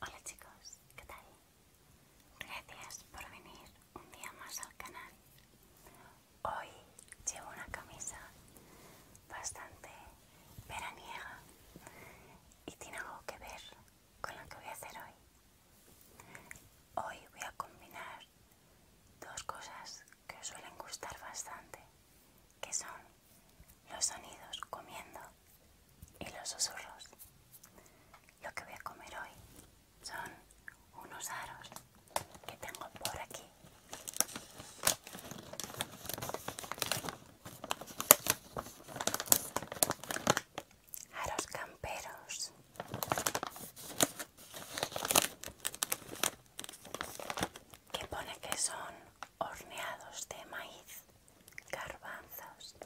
Hola chicos, ¿qué tal? Gracias por venir un día más al canal. Hoy llevo una camisa bastante veraniega y tiene algo que ver con lo que voy a hacer hoy. Hoy voy a combinar dos cosas que suelen gustar bastante, que son los sonidos comiendo y los susurros. Lo que voy a comer hoy son unos aros que tengo por aquí. Aros camperos. Que pone que son horneados de maíz, garbanzos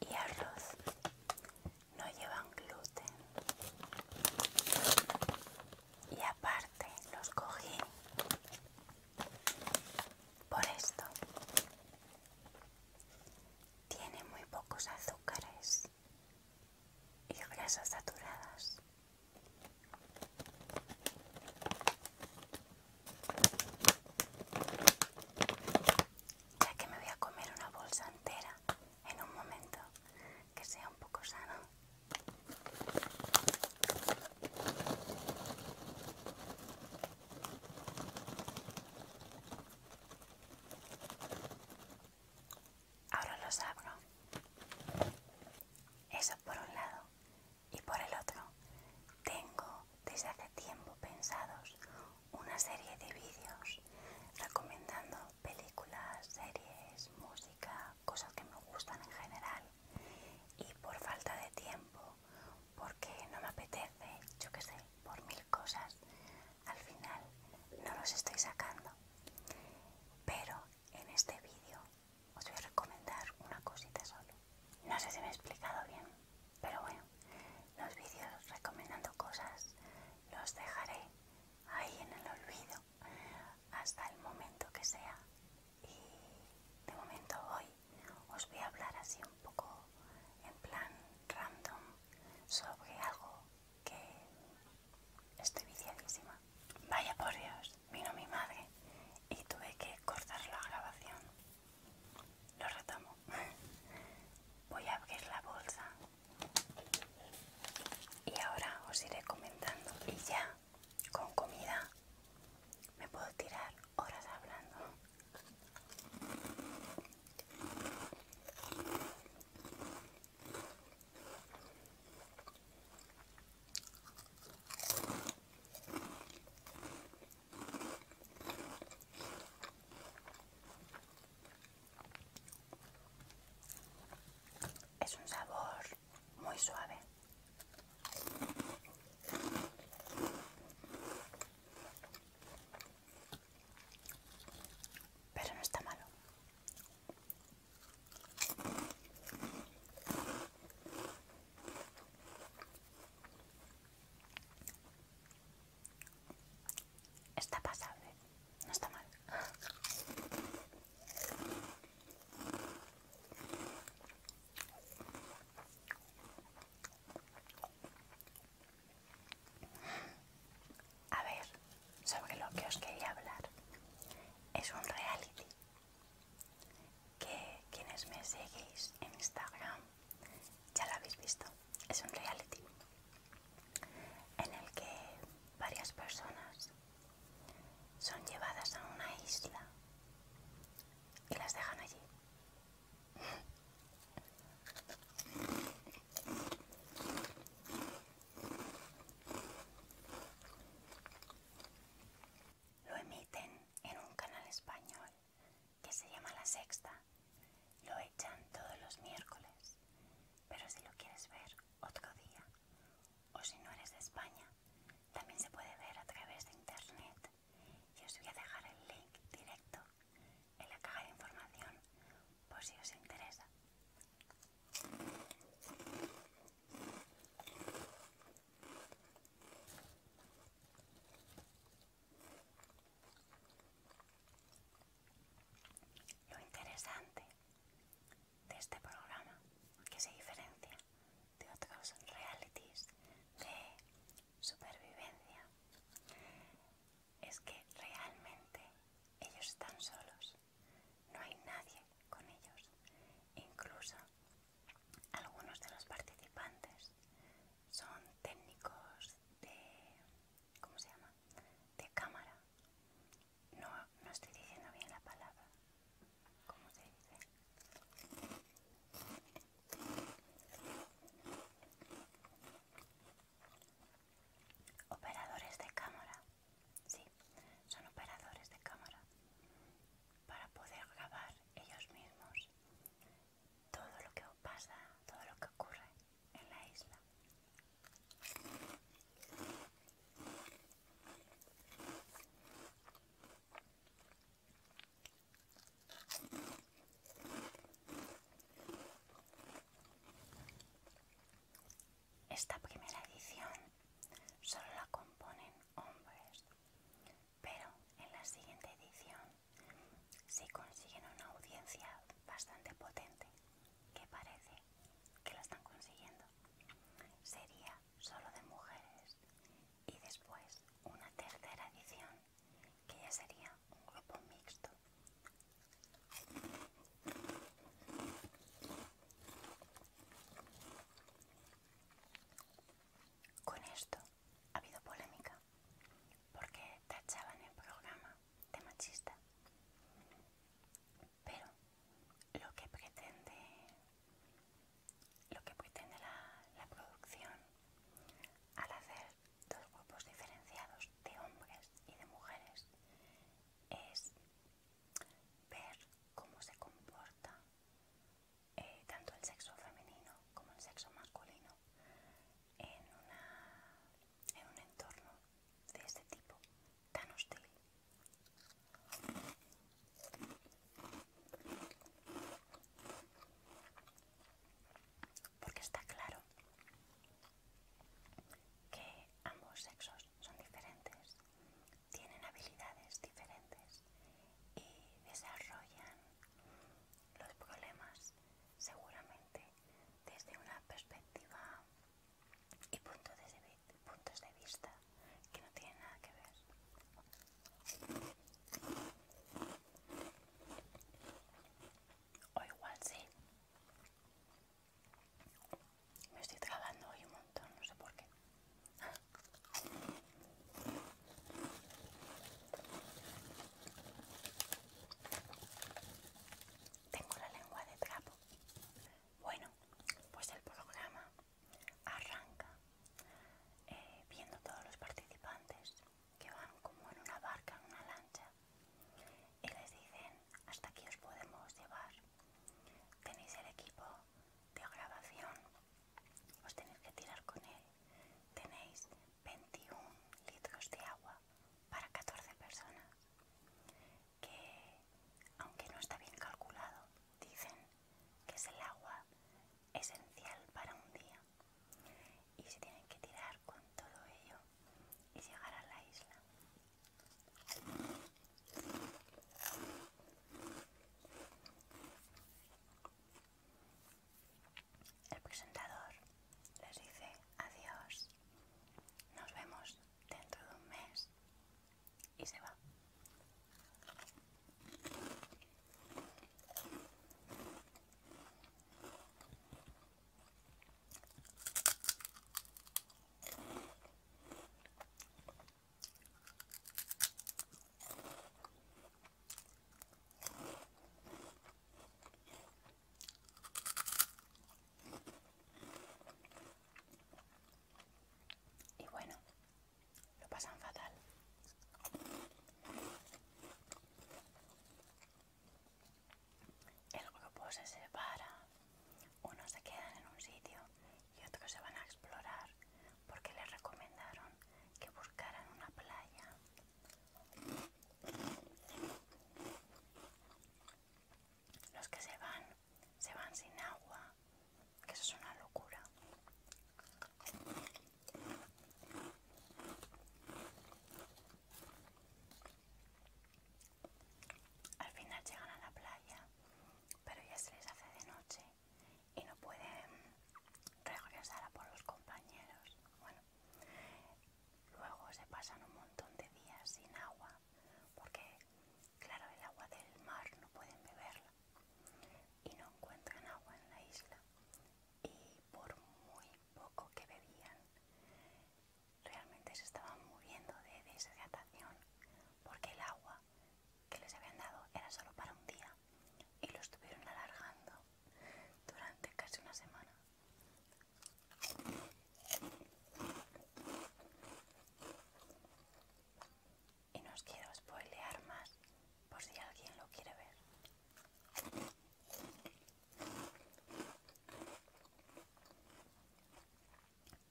y arroz. No llevan gluten. Y aparte los cogí por esto. Tiene muy pocos azúcares y grasas saturadas ya que me voy a comer una bolsa entera en un momento que sea un poco sano. Ahora lo abro. Eso por un lado y por el otro tengo desde hace tiempo pensados una serie de vídeos recomendando películas, series, música, cosas que me gustan en general y por falta de tiempo, porque no me apetece, yo qué sé, por mil cosas, al final no los estoy sacando. Pero en este vídeo os voy a recomendar una cosita solo. No sé si me he explicado bien. Pero bueno, los vídeos recomendando cosas los dejaré ahí en el olvido hasta el momento que sea. Y de momento hoy os voy a hablar así un poco en plan random sobre algo que estoy viciadísima. Vaya por Dios, vino mi madre y tuve que cortar la grabación lo retomo voy a abrir la bolsa y ahora os iré comentando y ya con comida me puedo tirar horas hablando es un sabor muy suave. Pero no está malo. Está pasable, no está mal. A ver, sobre lo que os quería hablar. Es un reality que quienes me seguís en Instagram ya lo habéis visto, es un reality en el que varias personas son llevadas a una isla y las dejan allí. Lo emiten en un canal español que se llama La Sexta, lo echan todos los miércoles, pero si lo quieres ver otro día, o si no eres de España, también se puede ver a través de internet. Y os voy a dejar el link directo en la caja de información por si os interesa. Lo interesante de este programa que se diferencia de otros realities de supervivencia es que realmente ellos están solos, no hay nadie con ellos, incluso algunos de los participantes son técnicos de... ¿Cómo se llama? De cámara. No, no estoy diciendo bien la palabra. ¿Cómo se dice? Operadores de cámara. Sí, son operadores de cámara para poder grabar ellos mismos todo lo que pasa, todo lo que ocurre en la isla. Esta primera edición solo la componen hombres, pero en la siguiente edición si consiguen una audiencia bastante potente, que parece que lo están consiguiendo, sería solo de mujeres y después una tercera edición que ya sería un grupo mixto. Con esto ha habido polémica porque tachaban el programa de machista. Pero lo que pretende, lo que pretende la, la producción al hacer dos grupos diferenciados de hombres y de mujeres es ver cómo se comporta eh, tanto el sexo femenino como el sexo masculino en, una, en un entorno de este tipo tan hostil. Porque está claro que ambos sexos son diferentes, tienen habilidades diferentes y desarrollan los problemas seguramente desde una perspectiva y de, puntos de vista que no tienen nada que ver. O igual sí. Me estoy trabando hoy un montón, no sé por qué. Tengo la lengua de trapo. Bueno, pues el programa arranca viendo eh, viendo todos los participantes que van como en una barca, en una lancha, y les dicen, hasta aquí os podemos llevar. Tenéis el equipo de grabación, os tenéis que tirar con él, tenéis 21 litros de agua para 14 personas, que aunque no está bien calculado, dicen que es el agua esencial para un día y se tienen que tirar con todo ello y llegar a la isla. El presentador les dice adiós, nos vemos dentro de un mes y se va. Y bueno, lo pasan fatal. El grupo se separa, unos se quedan en un sitio y otros se van a explorar porque les recomendaron que buscaran una playa los que se van, se van sin agua, que eso es una locura. Al final llegan a la playa, pero ya se les hace de noche y no pueden regresar a por los compañeros. Bueno, Luego se pasan un montón de días sin agua, porque claro, el agua del mar no pueden beberla y no encuentran agua en la isla. Y por muy poco que bebían, realmente se estaban muriendo de deshidratación, porque el agua que les habían dado era solo para un día y lo estuvieron alargando durante casi una semana. Y no os quiero spoilear más por si alguien lo quiere ver.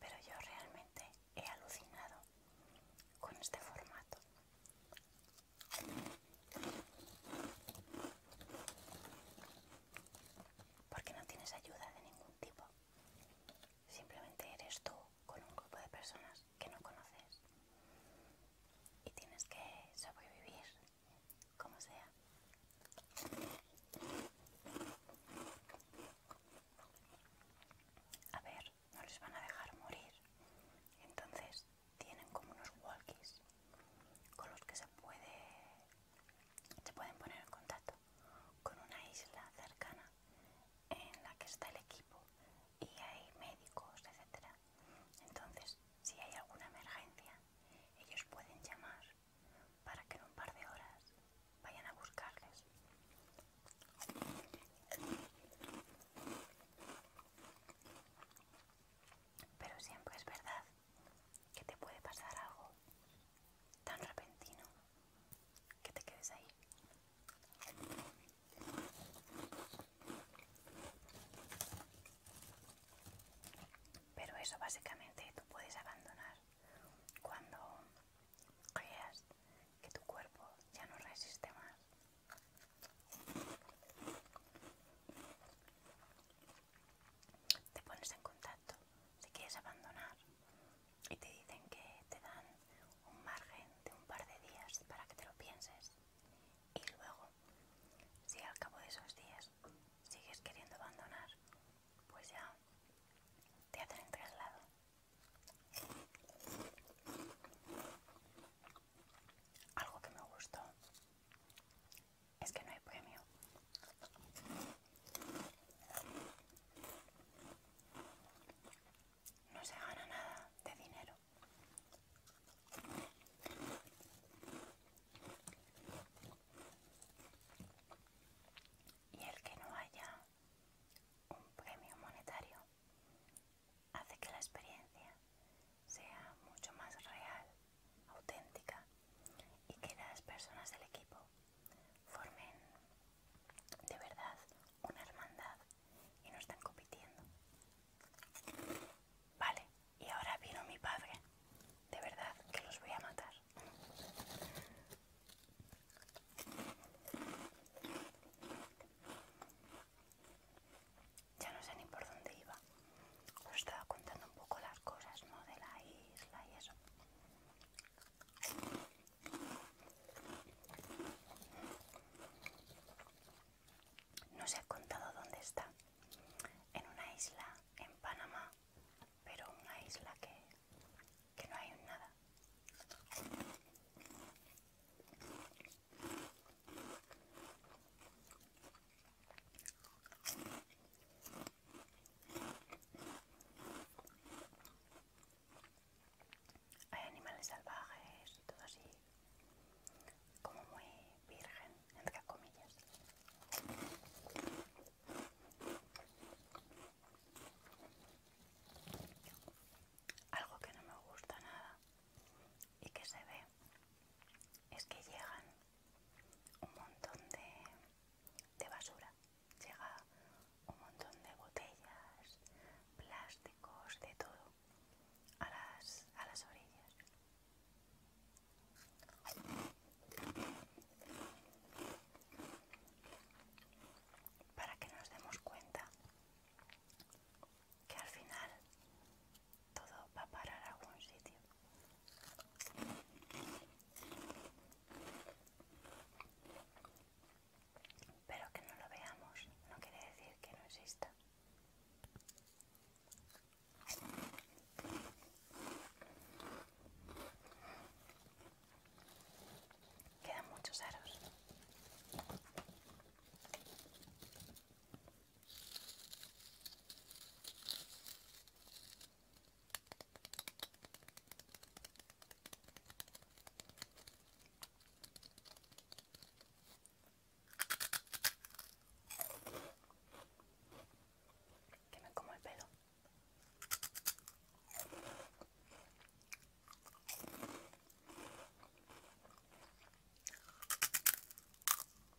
Pero yo realmente he alucinado con este formato. Porque no tienes ayuda de ningún tipo. Simplemente eres tú con un grupo de personas que no conoces y tienes que sobrevivir como sea. A ver, no les van a dejar morir. Entonces, tienen como unos walkies con los que se puede se pueden poner en contacto con una isla cercana en la que está el equipo y hay médicos, etcétera. Entonces, si hay alguna emergencia, ellos pueden llamar para que en un par de horas vayan a buscarles. Pero siempre es verdad que te puede pasar algo tan repentino que te quedes ahí. Pero eso básicamente tú puedes abandonar cuando creas que tu cuerpo ya no resiste más te pones en contacto si quieres abandonar y te dicen que te dan un margen de un par de días para que te lo pienses y luego si al cabo de esos días sigues queriendo abandonar pues ya te hacen el traslado algo que me gustó es que no hay premio. No se gana nada de dinero. Y el que no haya un premio monetario hace que la experiencia sea mucho más real, auténtica y que las personas del equipo formen de verdad una hermandad y no están compitiendo. Vale, y ahora vino mi padre. De verdad que los voy a matar ya no sé ni por dónde iba. Os pues estaba contando un poco las cosas, ¿no? De la isla y eso. No se ha contado dónde está. En una isla, en Panamá, pero una isla que, que no hay nada. Hay animales salvajes y todo así, como muy virgen, entre comillas. Algo que no me gusta nada y que se ve es que llegan un montón de, de basura, llega un montón de botellas, plásticos, de todo a las, a las orillas. Para que nos demos cuenta que al final todo va a parar a algún sitio. Pero que no lo veamos no quiere decir que no exista. Quedan muchos aros. Que me como el pelo.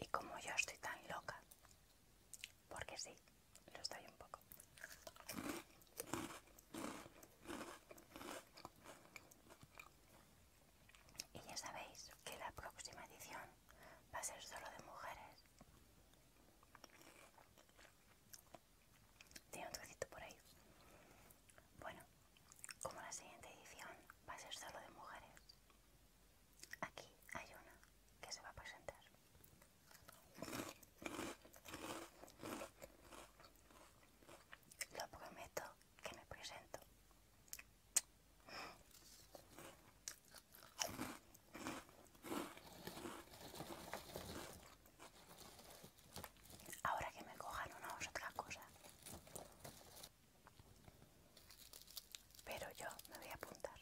Y como yo estoy tan loca, porque sí, lo estoy un poco. Y ya sabéis que la próxima edición va a ser solo de mujeres. Tiene un trocito por ahí. Bueno, como la siguiente edición va a ser solo de mujeres, Aquí hay una que se va a presentar. Lo prometo que me presento. Ahora que me cojan una o otra cosa. Pero yo me voy a apuntar.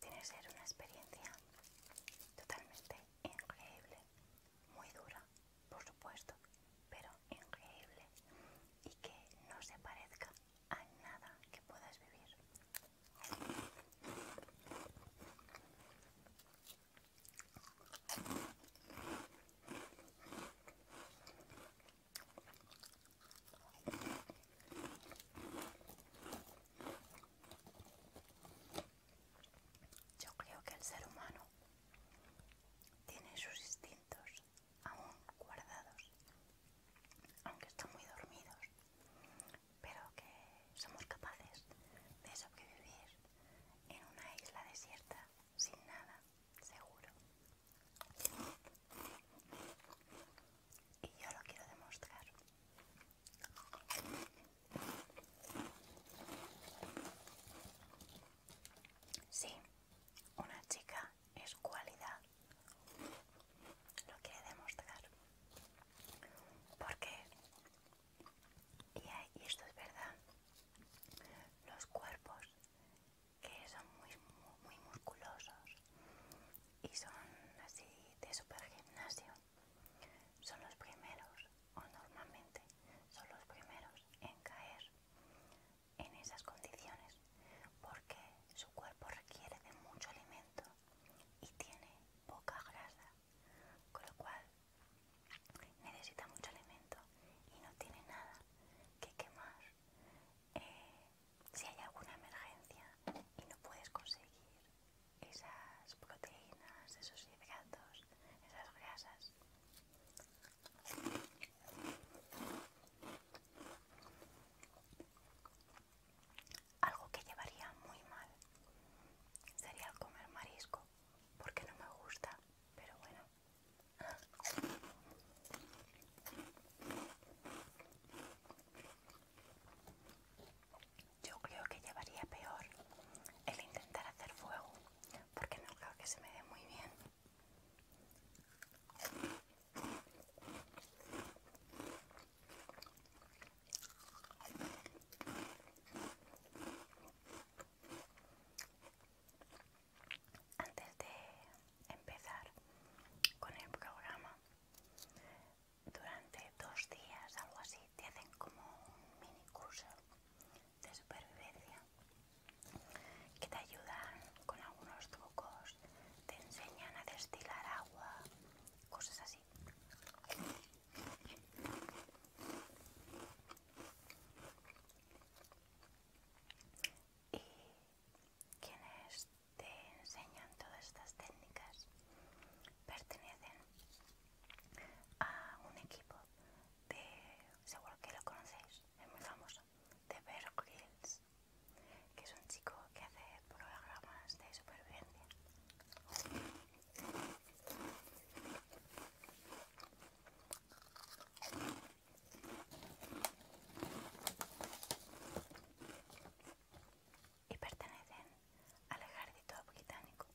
Tiene que ser una experiencia totalmente increíble, muy dura, por supuesto, pero increíble y que no se parezca a nada que puedas vivir. Yo creo que el ser humano tiene sus instintos aún guardados, aunque están muy dormidos, pero que somos capaces de sobrevivir en una isla desierta sin nada seguro. Y yo lo quiero demostrar. Sí, una chica es cualidad. Lo quiere demostrar. Porque, y, esto es verdad, los cuerpos que son muy, muy, musculosos y son así de super gimnasio. Son los primeros, o normalmente son los primeros en caer en esas condiciones porque su cuerpo requiere de mucho alimento y tiene poca grasa, con lo cual necesita mucho alimento y no tiene nada que quemar eh, si hay alguna emergencia y no puedes conseguir esas proteínas, esos hidratos, esas grasas. Algo que llevaría muy mal sería el comer marisco, porque no me gusta, pero bueno, yo creo que llevaría peor el intentar hacer fuego, porque no creo que se me dé muy bien antes de empezar con el programa, durante dos días, algo así, te hacen como un mini curso de supervivencia que te ayudan con algunos trucos, te enseñan a destilar agua, cosas así. Y es te enseñan todas estas técnicas pertenecen a un equipo de, seguro que lo conocéis, es muy famoso, de Bear que es un chico que hace programas de supervivencia y pertenecen al ejército británico.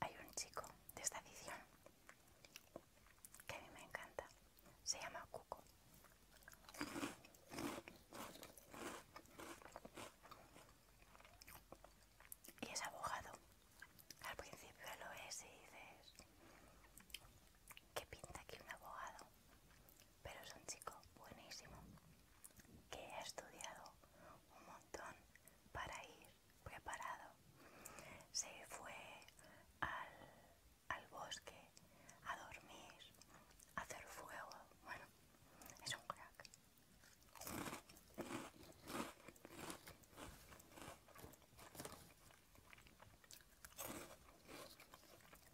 Hay un chico de esta edición que a mí me encanta. Se llama Cuco. Y es abogado. Al principio lo es y dices, ¿qué pinta aquí un abogado? Pero es un chico buenísimo que ha estudiado un montón para ir preparado. Se fue al, al bosque a dormir, a hacer fuego. Bueno, es un crack.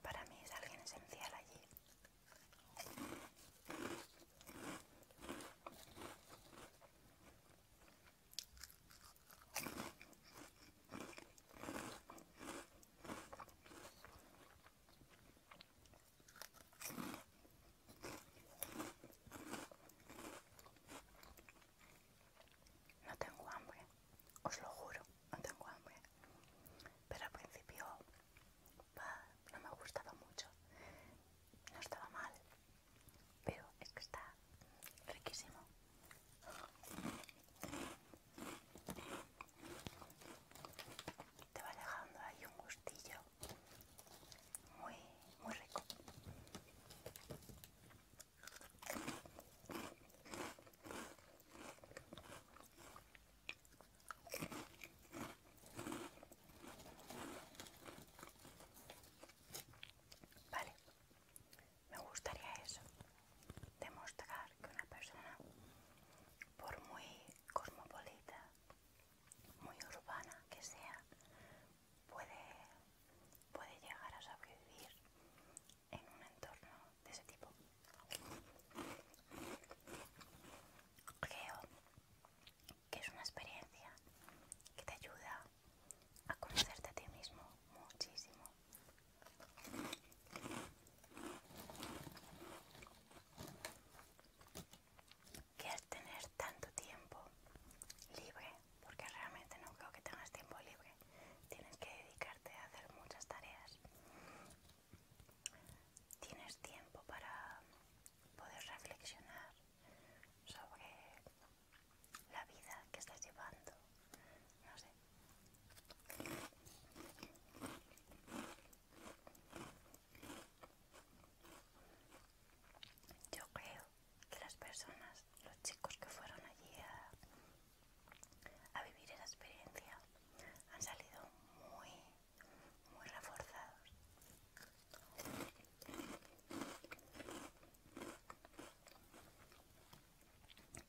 Para mí es alguien esencial allí. No tengo hambre, os lo juro, no tengo hambre. Pero al principio no me gustaba mucho. No estaba mal, pero es que está riquísimo. Te va dejando ahí un gustillo muy, muy rico. Vale, me gustaría eso, demostrar que una persona, por muy cosmopolita, muy urbana que sea, puede, puede llegar a sobrevivir en un entorno de ese tipo. Creo que es una experiencia que te ayuda a conocerte a ti mismo muchísimo. ¿Quieres tener tanto tiempo libre, porque realmente no creo que tengas tiempo libre, tienes que dedicarte a hacer muchas tareas tienes tiempo para poder reflexionar sobre la vida que estás llevando. No sé. Yo creo que las personas, los chicos que fueron allí a, a vivir esa experiencia, han salido muy muy reforzados.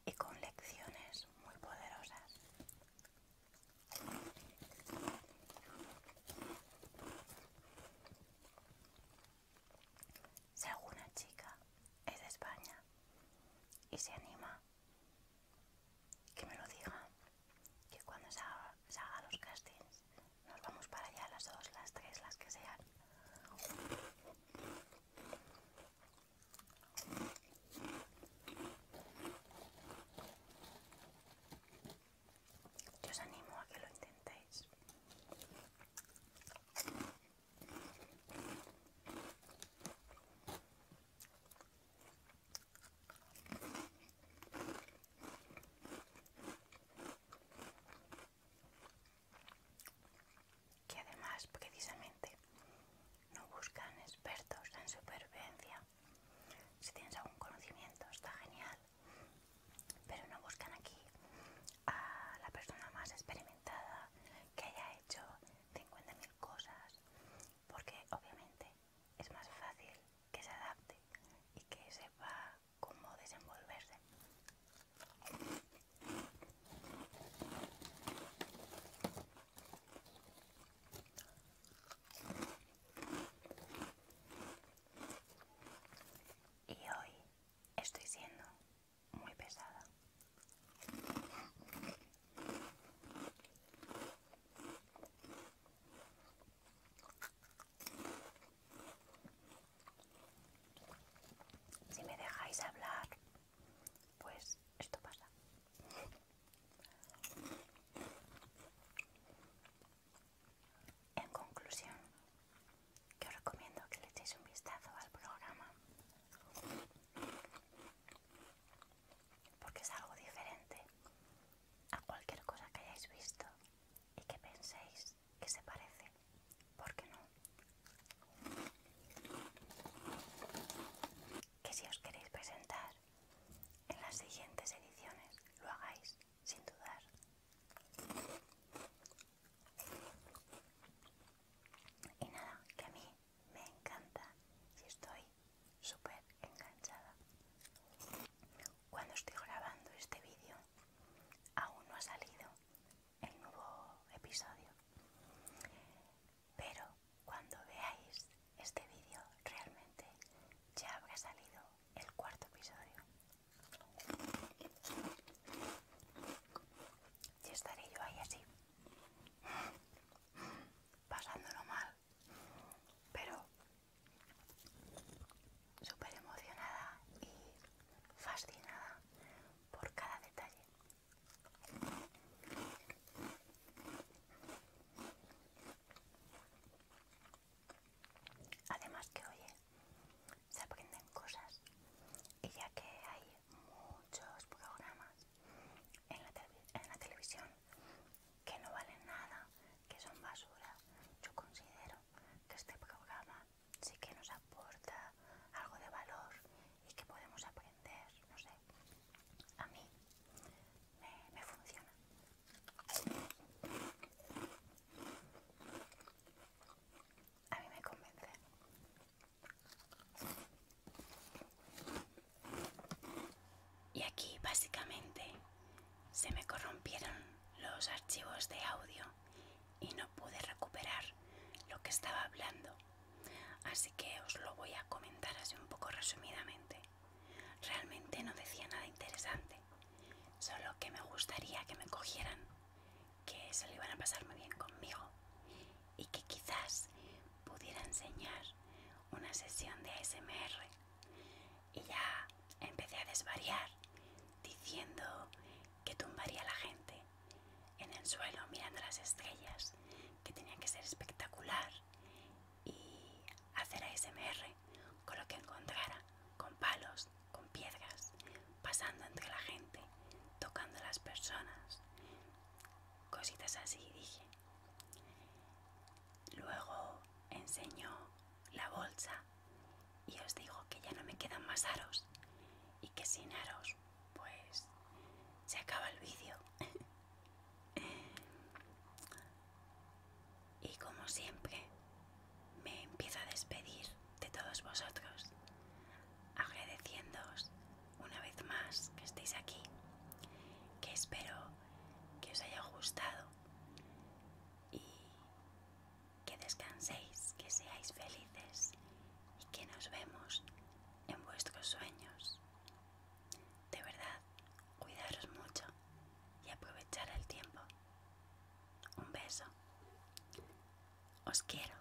Y con lecciones muy poderosas. Si alguna chica es de España y se anima que me lo diga, que cuando se haga, los castings nos vamos para allá las dos, las tres, las que sean. Yo os animo a que lo intentéis que además precisamente no buscan expertos en supervivencia. Si tienes algún conocimiento está genial, pero no buscan aquí a la persona más experimentada que haya hecho 50.000 cosas, porque obviamente es más fácil que se adapte y que sepa cómo desenvolverse. Y hoy estoy siendo muy pesada. Si me dejáis hablar, pues esto pasa. En conclusión, que os recomiendo que le echéis un vistazo al programa porque es algo diferente a cualquier cosa que hayáis visto y que penséis que se parece, ¿por qué no. Que si os queréis presentar en las siguientes ediciones, lo hagáis sin dudar. Y nada, que a mí me encanta si estoy súper enganchada. Cuando estoy grabando este vídeo, aún no ha salido el nuevo episodio. Pero cuando veáis este vídeo, realmente ya habrá salido el cuarto episodio. Y estaré yo ahí así, pasándolo mal, pero súper emocionada y fascinada por cada detalle. Además que oye, se aprenden cosas y ya que hay muchos programas en la, en la televisión que no valen nada, que son basura. Yo considero que este programa sí que nos aporta algo de valor y que podemos aprender, no sé. A mí me, funciona. A mí me convence. Y aquí básicamente se me corrompieron los archivos de audio y no pude recuperar lo que estaba hablando. Así que os lo voy a comentar así un poco resumidamente. Realmente no decía nada interesante, solo que me gustaría que me cogieran, que se lo iban a pasar muy bien conmigo y que quizás pudiera enseñar una sesión de ASMR y ya empecé a desvariar diciendo que tumbaría la gente en el suelo mirando las estrellas, que tenía que ser espectacular y hacer ASMR con lo que encontrara, con palos, con piedras, pasando entre la gente, tocando a las personas, cositas así, dije. Luego enseño la bolsa y os digo que ya no me quedan más aros y que sin aros pues se acaba el vídeo. y como siempre me empiezo a despedir de todos vosotros agradeciéndoos una vez más que estéis aquí, que espero que os haya gustado y que descanséis, que seáis felices y que nos vemos en vuestros sueños. De verdad, cuidaros mucho y aprovechar el tiempo. Un beso. Os quiero.